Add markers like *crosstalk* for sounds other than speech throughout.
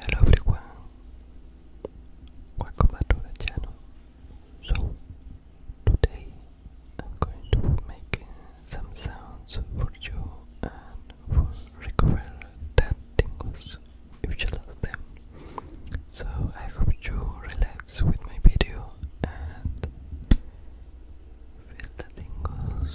Hello everyone, welcome back to the channel. So, today I'm going to make some sounds for you and for recover that tingles if you lost them. So, I hope you relax with my video and feel the tingles.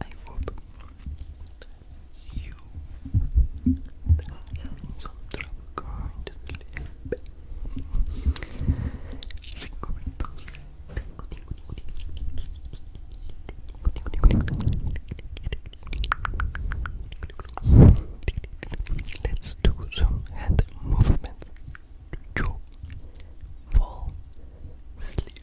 I hope you have some going to sleep. Let's do some hand movement to fall asleep.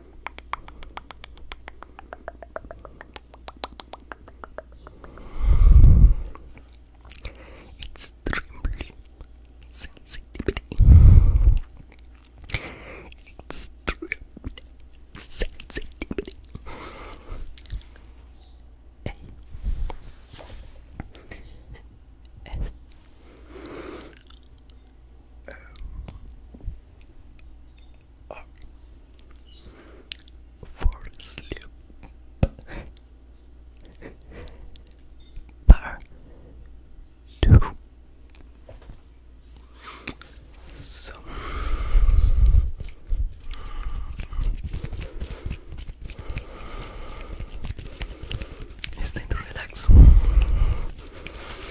Extremely sensitivity. Extremely sensitivity. A. S um, up for two. So. It's time to relax.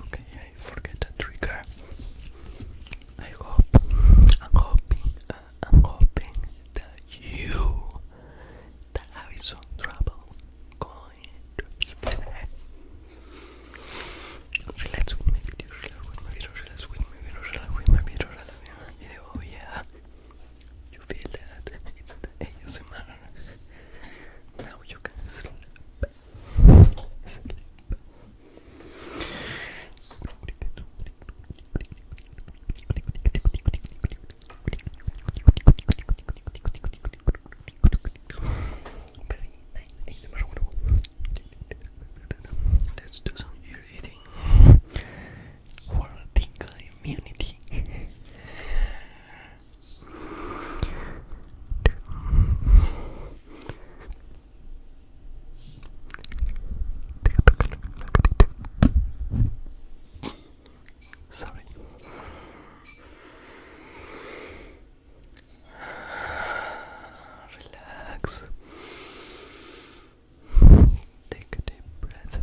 Okay, I forget the trigger. I hope, I'm hoping, uh, I'm hoping that you that I'm having some trouble going to sleep. Relax with my video, relax with my video, relax with my video, relax with my video, video, yeah. You feel that? It's the ASMR. Now you can sleep. Sleep. Let's do some here creating *laughs* worlding community. Sorry. Relax. Take a deep breath.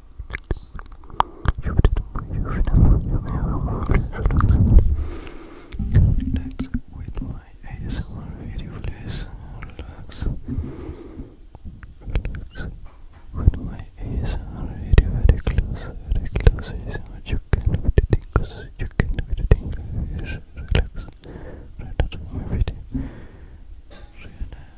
Relax with my ASMR video, please. Relax. Relax with my ASMR video. Very close, very close. ASMR. You can do the things. You can do the things. Relax. Right after my video. Relax.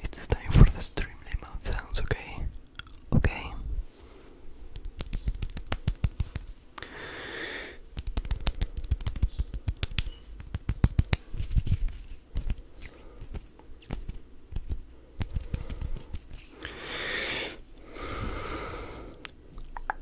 It's time for the stream Streamlabs sounds, okay? Okay.